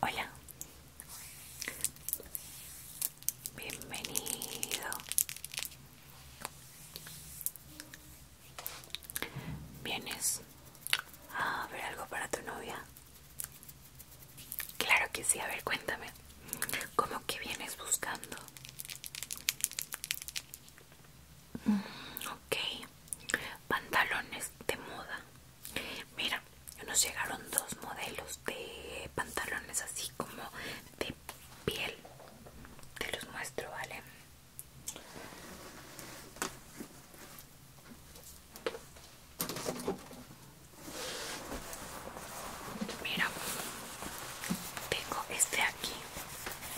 Hola, bienvenido, vienes a ver algo para tu novia. Claro que sí, a ver, cuéntame, ¿cómo que vienes buscando? Mm, ok, pantalones de moda. Mira, nos llegaron dos modelos de pantalones así como de piel. Te los muestro, ¿vale? Mira, tengo este aquí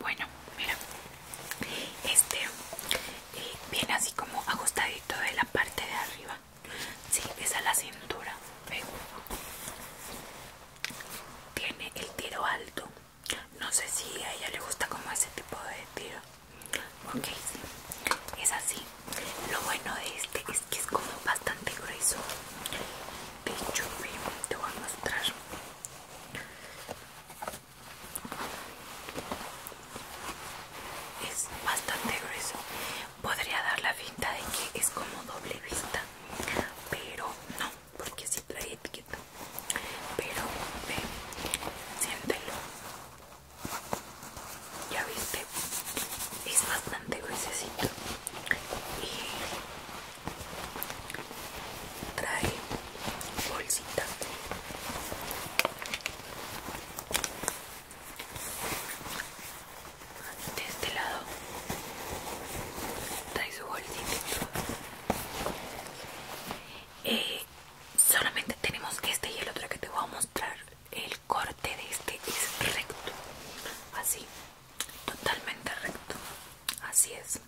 Bueno, mira, este eh, viene así como ajustadito de la parte de arriba. Sí, es a la cintura. Tiene el tiro alto. No sé si a ella le gusta como ese tipo de tiro. Ok, sí. es así. Lo bueno de este es es que es como bastante grueso de hecho te voy a mostrar es bastante grueso podría dar la vista de que es como doble vista pero no porque si trae etiqueta pero ve siéntelo ya viste es bastante gruesecito y trae bolsita de este lado trae su bolsita eh, solamente tenemos este y el otro que te voy a mostrar el corte de este es recto así totalmente recto así es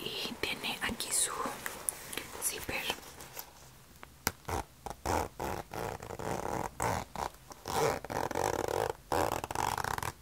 y tiene aquí su zipper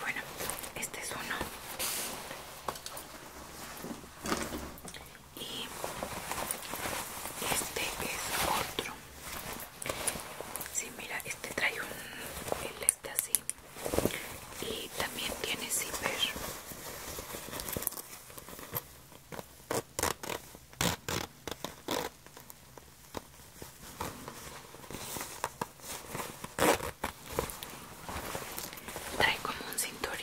bueno, este es uno. Y este es otro. Sí, mira, este trae un... el este así. Y también tiene zipper. Trae como un cinturón,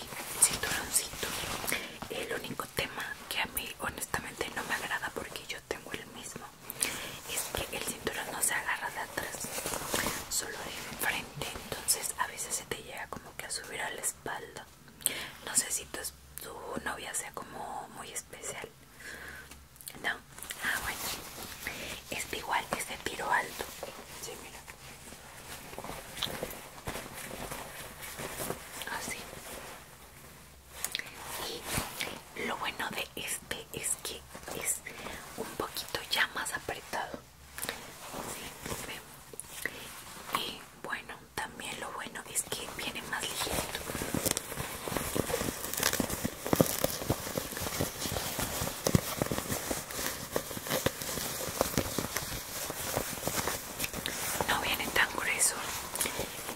El único tema que a mí honestamente no me agrada porque yo tengo el mismo es que el cinturón no se agarra de atrás, solo de frente. Entonces a veces se te llega como que a subir a la espalda. No sé si tu novia sea como muy especial no, ah bueno. Este igual es de tiro alto. Sí, mira. Así. Y lo bueno de este es que es un poquito ya más apretado. Sí, y bueno, también lo bueno es que viene más ligero no viene tan grueso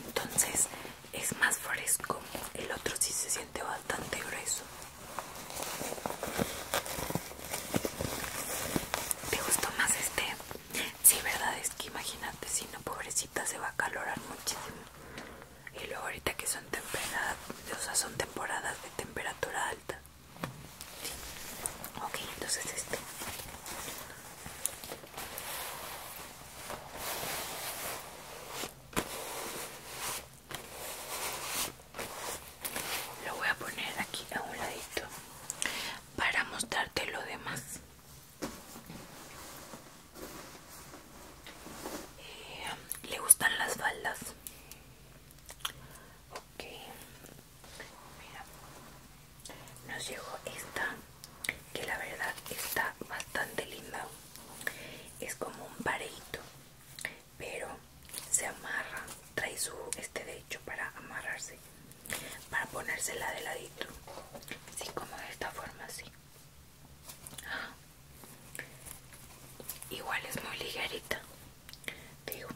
entonces es más fresco el otro sí se siente bastante grueso ¿Te gustó más este? Sí, verdad es que imagínate, si no, pobrecita, se va a calorar muchísimo. Y luego ahorita que son temporadas, o sea, son temporadas de temperatura alta. Ok, entonces esto Lo voy a poner aquí a un ladito para mostrarte lo demás. Eh, ¿Le gustan las faldas? Ok. Mira. Nos llegó esta que la verdad está bastante linda. Es como un pareito, pero se amarra. Trae su este de hecho para amarrarse para ponérsela de ladito así como de esta forma así igual es muy ligerita digo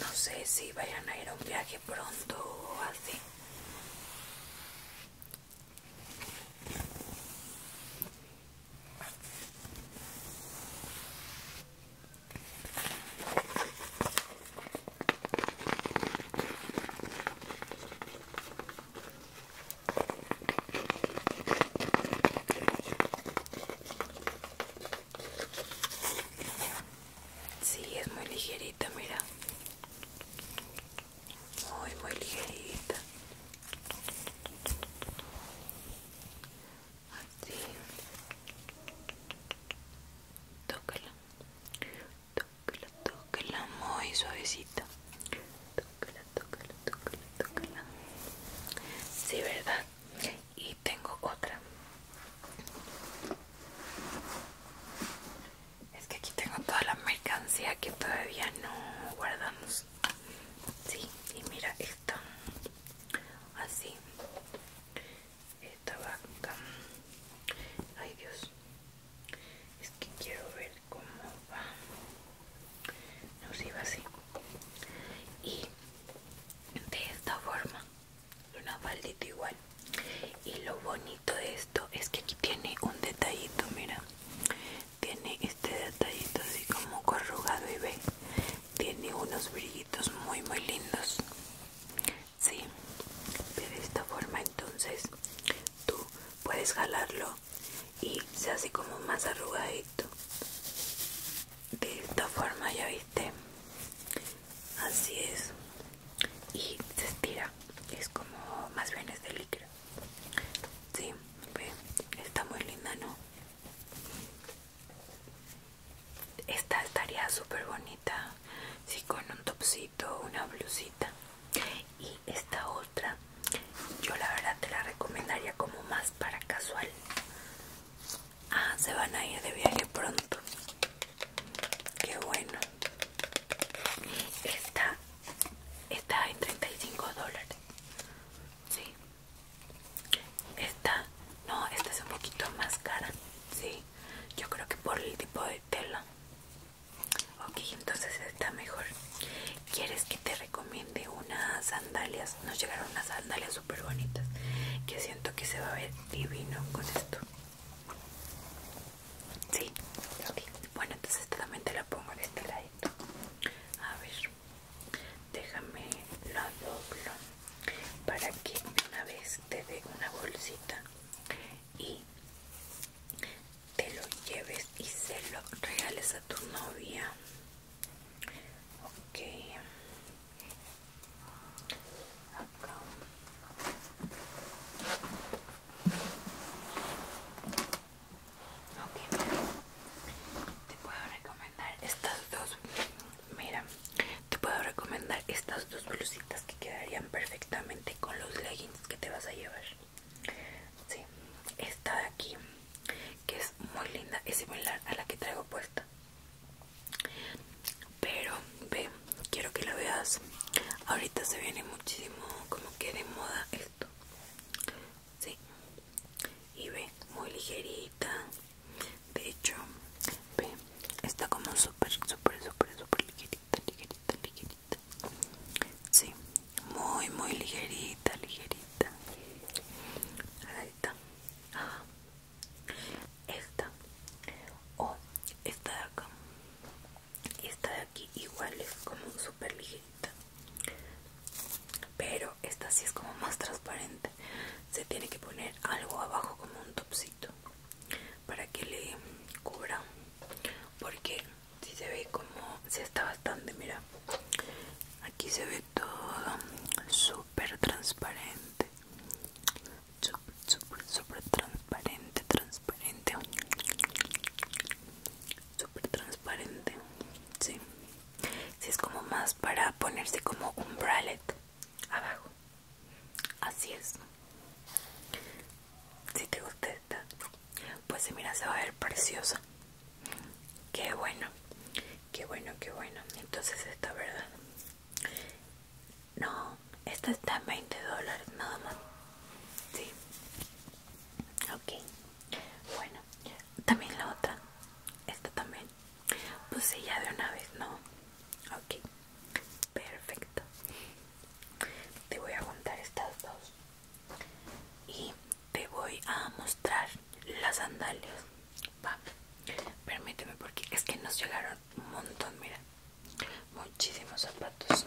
no sé si vayan a ir a un viaje pronto o así Sí, es muy ligerita, mira. Muy, muy ligerita. Así. Tócala tócala, tócala muy suavecita. Tócala, tócala, tócala, tócala. Sí, ¿verdad? Y tengo otra. Es que aquí tengo toda la mercancía que todavía no guardamos. Sí, y mira esto, Así esta vaca ay dios es que quiero ver cómo va nos iba así y de esta forma una faldita igual y lo bonito de esto es que aquí tiene un detallito mira tiene este detallito así como corrugado y ve tiene unos brillitos muy muy lindos Sí, de esta forma entonces tú puedes jalarlo y se hace como más arrugadito. De esta forma, ya viste. Así es. Y se estira. Es como más bien es de Sí, Está muy linda, ¿no? Esta estaría súper bonita, si con un topsito, una blusita. Y esta otra, yo la verdad te la recomendaría como más para casual. Ah, se van a ir de viaje pronto. Qué bueno. Esta está en 35 dólares. Sí. Esta, no, esta es un poquito más cara. Sí yo creo que por el tipo de tela ok entonces está mejor quieres que te recomiende unas sandalias nos llegaron unas sandalias súper bonitas que siento que se va a ver divino con esto sí ok bueno entonces esta también te la pongo En este ladito a ver déjame la doblo para que una vez te de una bolsita y te lo lleves y se lo regales a tu novia ok acá ok te puedo recomendar estas dos mira te puedo recomendar estas dos blusitas que quedarían perfectamente con los leggings que te vas a llevar. Sí, esta de aquí, que es muy linda, es similar a la que traigo puesta. Pero ve, quiero que la veas. Ahorita se viene muchísimo como que de moda esto. Sí. Y ve, muy ligerita de hecho está como súper súper súper súper ligerita ligerita ligerita sí muy muy ligerita ligerita ahí está esta o esta de acá Y esta de aquí igual es como súper ligerita pero esta sí es como más transparente se tiene que poner algo abajo como un topsito para que le cubra porque si se ve como se está bastante mira aquí se ve todo súper transparente súper súper súper transparente transparente súper transparente sí si es como más para ponerse como un bralette abajo Así es. Si te gusta esta, pues si mira, se va a ver preciosa. Qué bueno, qué bueno, qué bueno. Entonces, esta, ¿verdad? No, esta está en 20 dólares nada más. Sí. Ok. Bueno, también la otra. Esta también pues sí, ya de una vez, ¿no? Ok, perfecto. Te voy a contar estas dos y te voy a mostrar las sandalias. Va, permíteme porque es que nos llegaron un montón, mira. Muchísimos zapatos.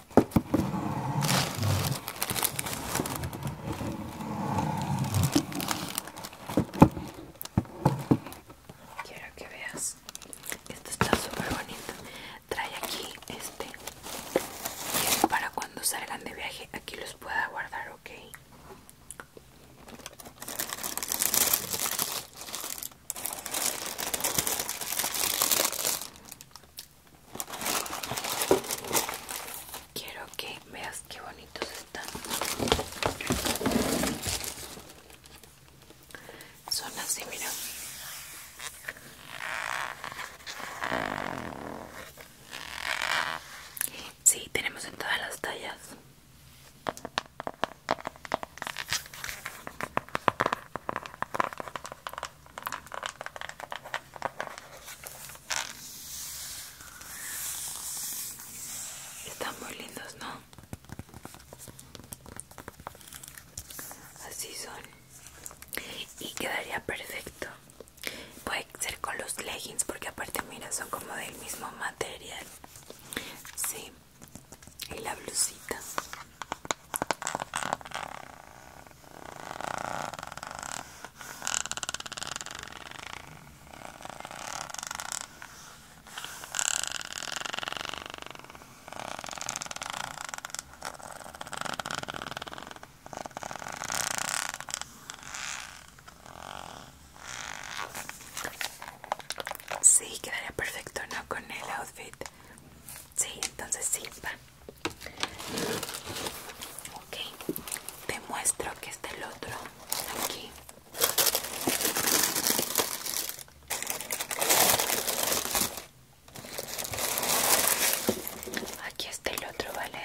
Quiero que veas. Esto está súper bonito. Trae aquí este. para cuando salgan de viaje, aquí los pueda guardar, ¿ok? Quiero que veas qué bonitos están. Son así, mira. Sí, tenemos en todas las tallas. Están muy lindos, ¿no? Así son. Y quedaría perfecto. Puede ser con los leggings porque aparte mira, son como del mismo material. Sí. Y la blusita. Sí, quedaría perfecto, ¿no? Con el outfit Sí, entonces sí, va. te muestro que está el otro aquí. Aquí está el otro, ¿vale?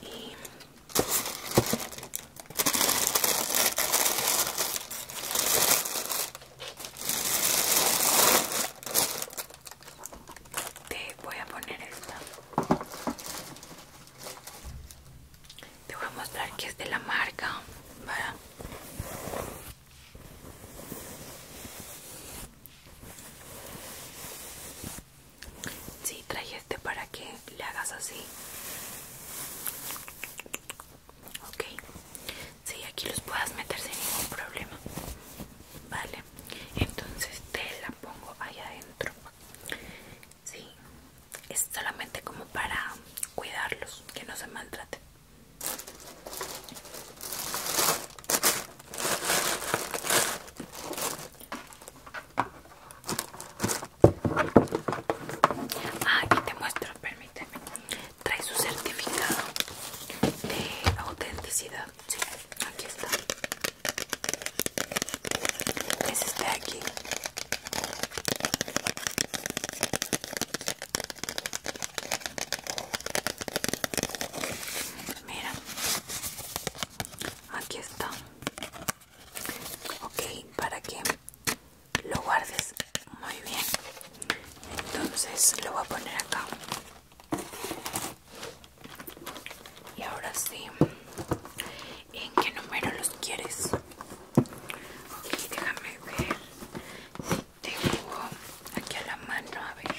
Y te voy a poner esta. Te voy a mostrar que es de la marca. si Sí, este para que le hagas así. Ok, si aquí los puedas meter sin ningún problema. Vale, entonces te la pongo ahí adentro. si, es solamente como para cuidarlos, que no se maltraten. Ah, aquí te muestro, permíteme. Trae su certificado de autenticidad. Sí, aquí está. Es este de aquí. Mira, aquí está. Ok, para qué? lo guardes muy bien entonces lo voy a poner acá y ahora sí en qué número los quieres ok déjame ver si tengo aquí a la mano a ver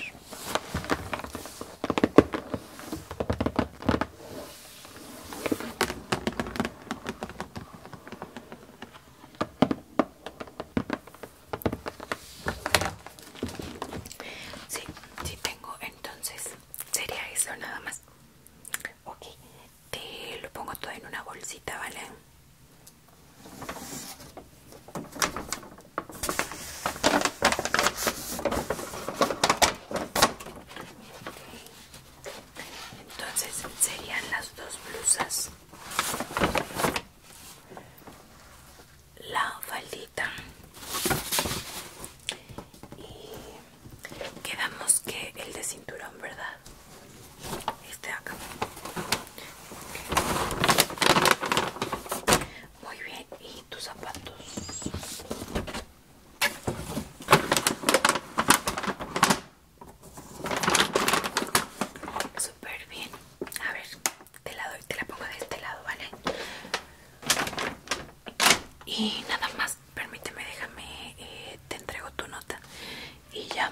Sí, sí tengo, entonces sería eso nada más. Ok, te lo pongo todo en una bolsita, ¿vale? entonces serían las dos blusas la faldita y quedamos que el de cinturón verdad este acá muy bien y tus zapatos super bien. A ver, te la doy, te la pongo de este lado, ¿vale? Y nada más, permíteme, déjame, eh, te entrego tu nota y ya.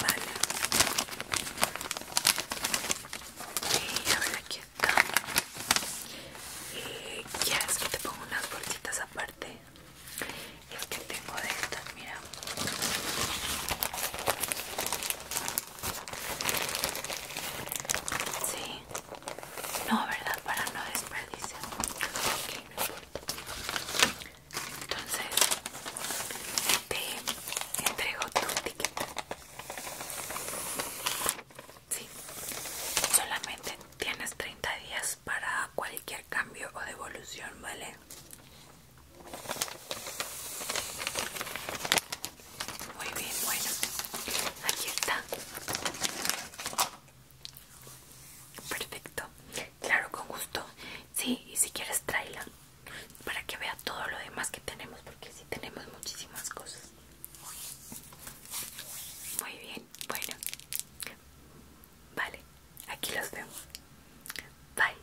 Vale. Y a ver aquí está Y ya es que te pongo unas bolsitas aparte. Es que tengo de estas, mira. Sí. No, ¿verdad? Para no desperdiciar entonces te entrego tu etiqueta, sí solamente tienes 30 días para cualquier cambio o devolución vale muy bien bueno aquí está perfecto claro con gusto Sí, y si quieres tráela para que vea todo lo demás que tenemos, porque sí tenemos muchísimas cosas. Muy bien, bueno. Vale, aquí los vemos Bye.